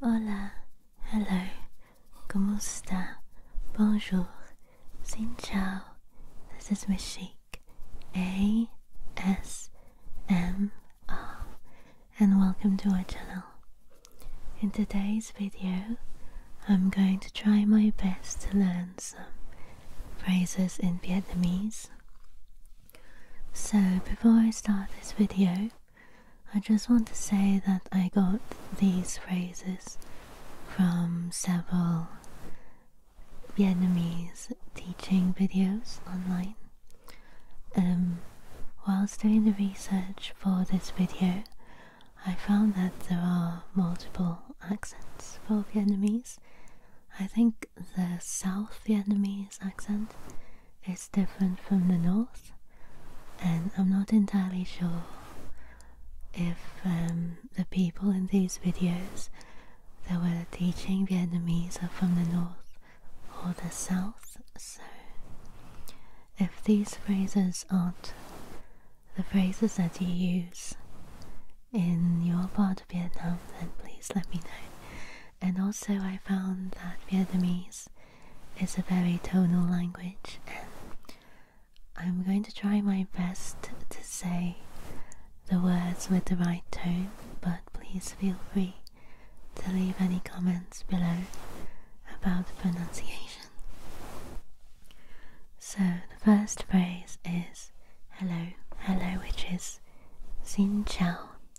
Hola, hello, ¿cómo está? Bonjour, xin chao. This is Miss Sheik, A S M R, and welcome to our channel. In today's video, I'm going to try my best to learn some phrases in Vietnamese. So, before I start this video, I just want to say that I got these phrases from several Vietnamese teaching videos online. Um, whilst doing the research for this video, I found that there are multiple accents for Vietnamese. I think the South Vietnamese accent it's different from the north, and I'm not entirely sure if um, the people in these videos that were teaching Vietnamese are from the north or the south. So, if these phrases aren't the phrases that you use in your part of Vietnam, then please let me know and also I found that Vietnamese is a very tonal language I'm going to try my best to say the words with the right tone but please feel free to leave any comments below about pronunciation. So the first phrase is hello, hello which is xin chào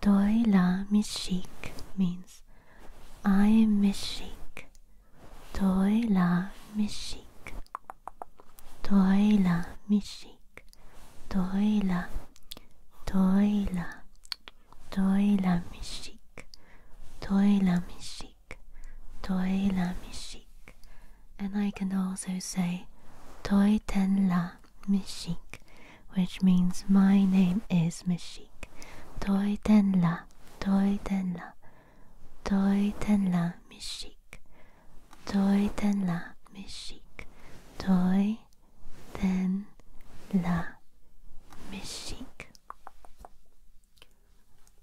Doi la mishik means I am mischik. Doi la mishik. Doi la mishik. Doi la. Doi la. Doi la mishik. Doi la mishik. Doi la mishik. And I can also say Doi ten la Mishik, which means my name is Mishik. Toi ten la, toi ten la, toi ten la Mishik, toi ten la Mishik, toi ten la Mishik.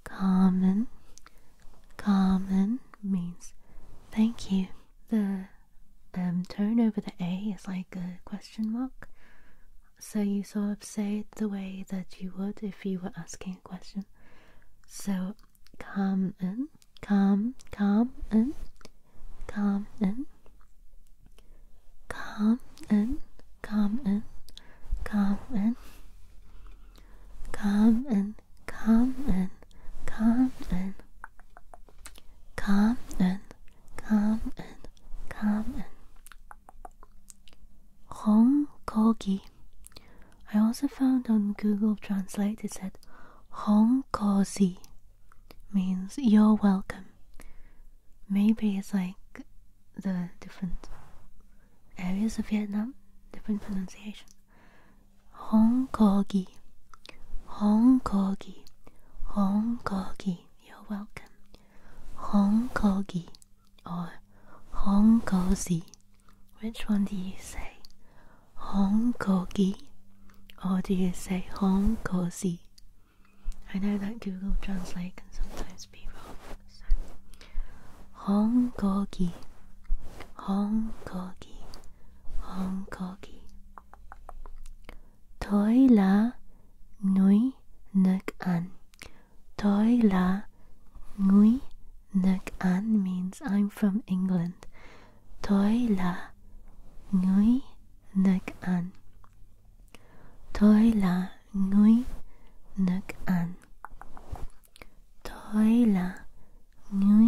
Common, common means thank you the um, tone over the A is like a question mark. So you sort of say it the way that you would if you were asking a question. So calm in, calm, calm in, calm in, calm in, calm in, calm in, calm in, calm in, come in, come in, come in, come in. Hongkogi. I also found on Google Translate it said Hongkozi means you're welcome. Maybe it's like the different areas of Vietnam, different pronunciation. Hong Hong Honkogi, Hong Honkogi. You're welcome. Hong Honkogi or Hong Honkozi. Which one do you say? Hong Honkogi or do you say Hong Honkozi? I know that Google Translate can sometimes be wrong. So. Hong Honkogi. Hongkogi. Toi la nui nuk an. Toi la nui nuk an means I'm from England. Toi la nui nuk an. Toi la nui nuk an. Thôi là người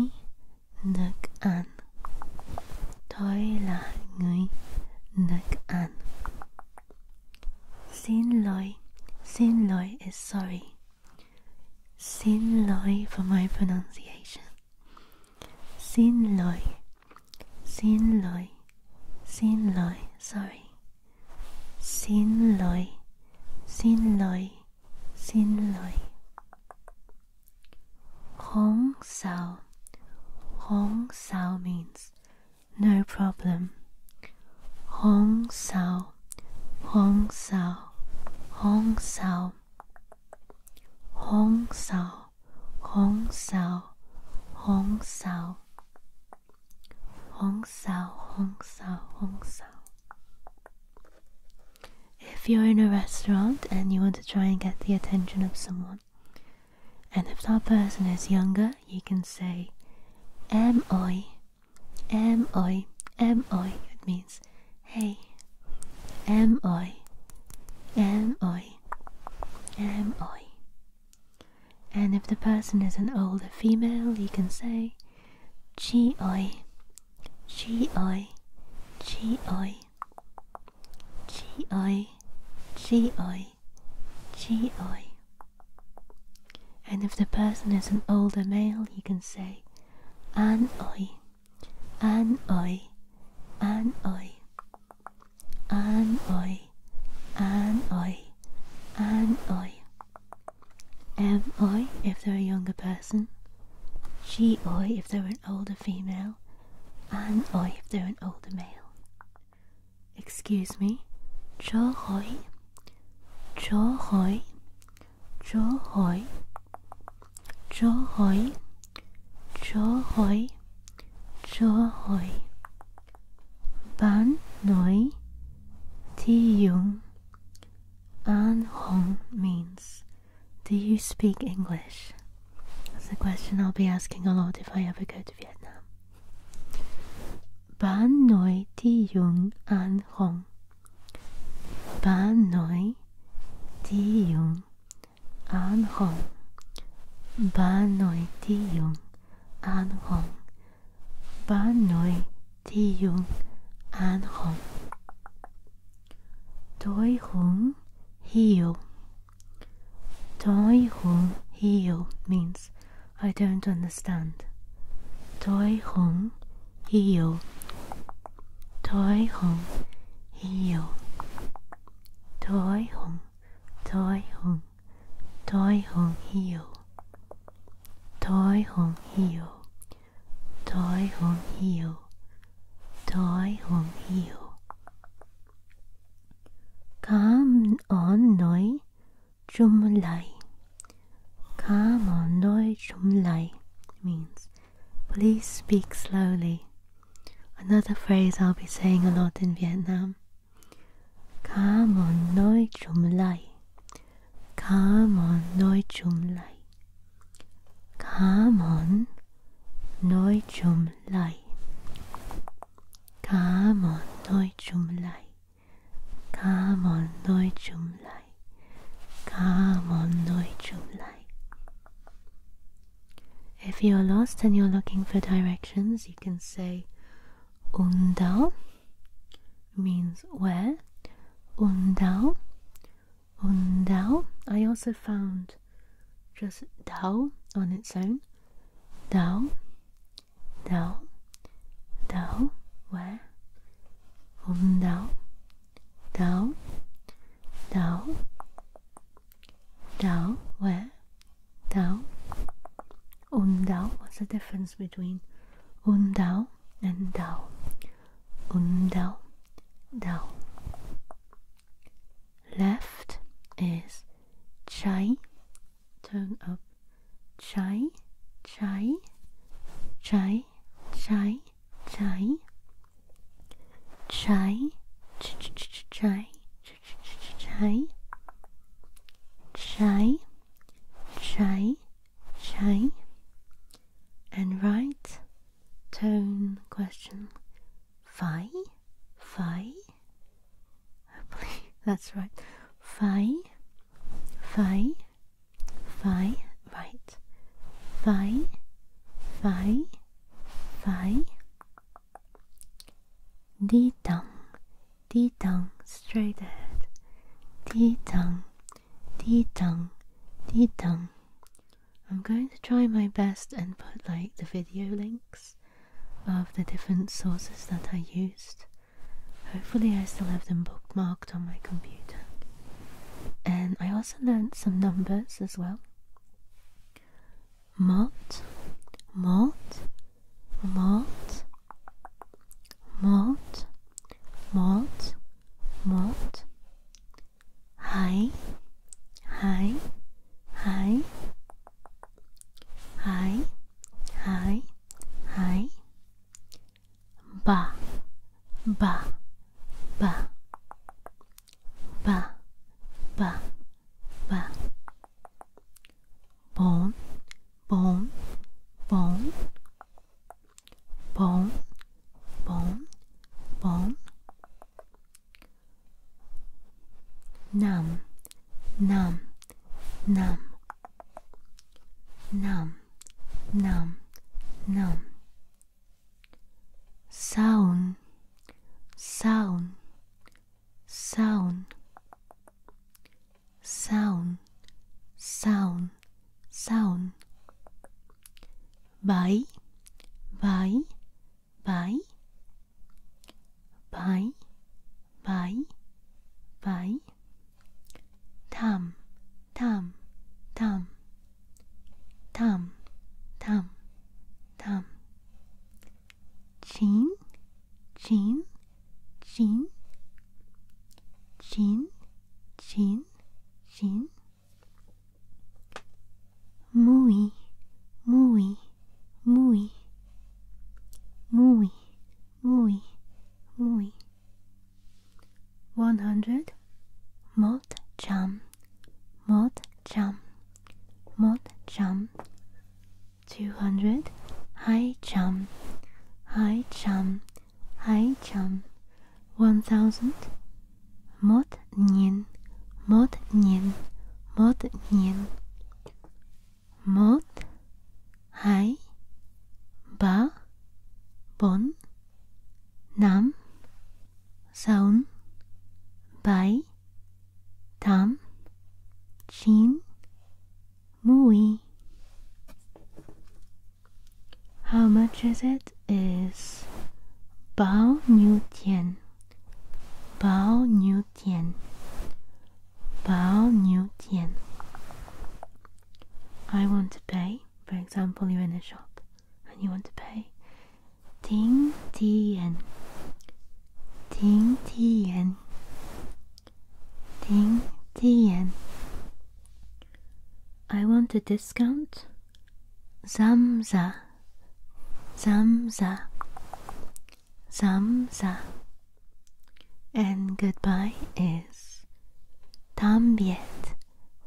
được ăn Thôi là người được ăn Xin lỗi, xin lỗi is eh, sorry Xin lỗi for my pronunciation Xin lỗi, xin lỗi, xin lỗi, sorry Xin lỗi, xin lỗi xin lỗi Hong Sao Hong Sao means no problem Hong Sao Hong Sao Hong Sao Hong Sao Hong Sao Hong Sao Hong Sao if you're in a restaurant and you want to try and get the attention of someone, and if that person is younger, you can say "Am I? Am I? Am I?" It means "Hey, am I? Am I? Am I?" And if the person is an older female, you can say "Chi I? G I G I G I G I G I and if the person is an older male, you can say an oi, an oi, an oi, an oi, an oi, an oi, Am I if they're a younger person, she oi if they're an older female, and oi if they're an older male. Excuse me, Cho Hoi, Cho Hoi, Cho Hoi, Cho Hoi, Cho Hoi, Cho Hoi. Ban Noi Ti Yung an Hong means, do you speak English? That's a question I'll be asking a lot if I ever go to Vietnam. Ban Noi Ti Yung Ban Noi Ti Yung Ban Noi Ti Yung Banoi Ti Jung An Hong Doi Hung Hio Doi Hung Hio means I don't understand. Doi Hung Hio Doi Hung Hio Doi Hung Doi Hung 台红 heel, 台红 heel, 台红 heel, 台红 heel. Come on, noi, chum lai. Come on, noi, chum lai means please speak slowly. Another phrase I'll be saying a lot in Vietnam. Come on, Jumlai. Come on, Jumlai. Come on, Jumlai. Come on, Jumlai. Come on, Jumlai. Come on, Jumlai. If you're lost and you're looking for directions, you can say Undal means where. Undao, undao. I also found just dao on its own. Dao, dao, dao. Where? Undao, dao, dao, dao. Where? down, un down. What's the difference between un down and down? Un down, down. Left is chai, turn up, chai, chai, chai, chai, chai, chai, chai, chai, chai, chai, chai, chai, and right tone question phi, phi. Hopefully that's right. Phi, phi, phi, right. Phi, phi, phi. D tongue. D tongue straight ahead. D tongue, D tongue, D tongue. I'm going to try my best and put like the video links of the different sources that I used. Hopefully, I still have them bookmarked on my computer. And I also learned some numbers as well malt, malt, malt, malt, malt, malt, high, high, high, high, high, high, ba, ba, ba, ba, ba, ba, bone, bone, bone, bone, bone, bone, numb, numb, numb, numb, numb, numb, sound, sound, sound, sound, sound, sound. Bái, bái, bái. Bái, bái, bái. Thầm, thầm, thầm. Thầm, thầm, thầm chin, chin, chin, chin, chin, chin. Muy, muy, muy, muy, muy, muy. One hundred. Malt jam, mod jump, mod jump. 200 high jump, high jump, high jump. 1000 mod nien, mod nien, mod nien. Mod high ba bon nam Sound. Bai Tam Chin Mui How much is it? Is Bao New Tian Bao New Tian Bao New Tian I want to pay, for example, you're in a shop and you want to pay ding tien ding tien ding tien I want a discount zamza zamza zamza and goodbye is tambiet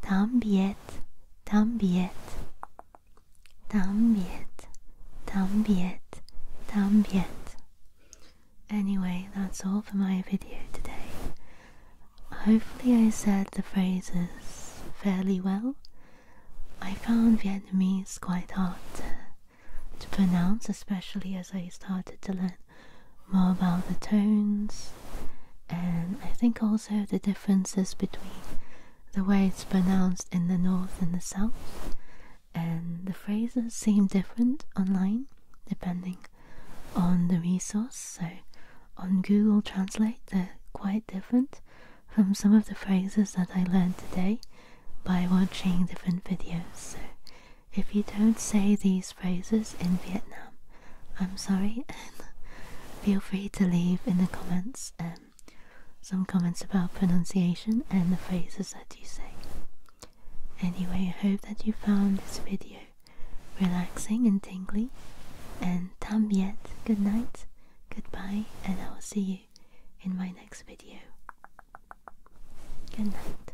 tambiet tambiet Tambiyet, tambiyet, tambiyet. Anyway, that's all for my video today. Hopefully, I said the phrases fairly well. I found Vietnamese quite hard to pronounce, especially as I started to learn more about the tones and I think also the differences between the way it's pronounced in the north and the south, and the phrases seem different online depending on the resource. So, on Google Translate, they're quite different from some of the phrases that I learned today by watching different videos. So, if you don't say these phrases in Vietnam, I'm sorry, and feel free to leave in the comments um, some comments about pronunciation and the phrases that you say. Anyway, I hope that you found this video relaxing and tingly. And tam yet, good night, goodbye, and I will see you in my next video. Good night.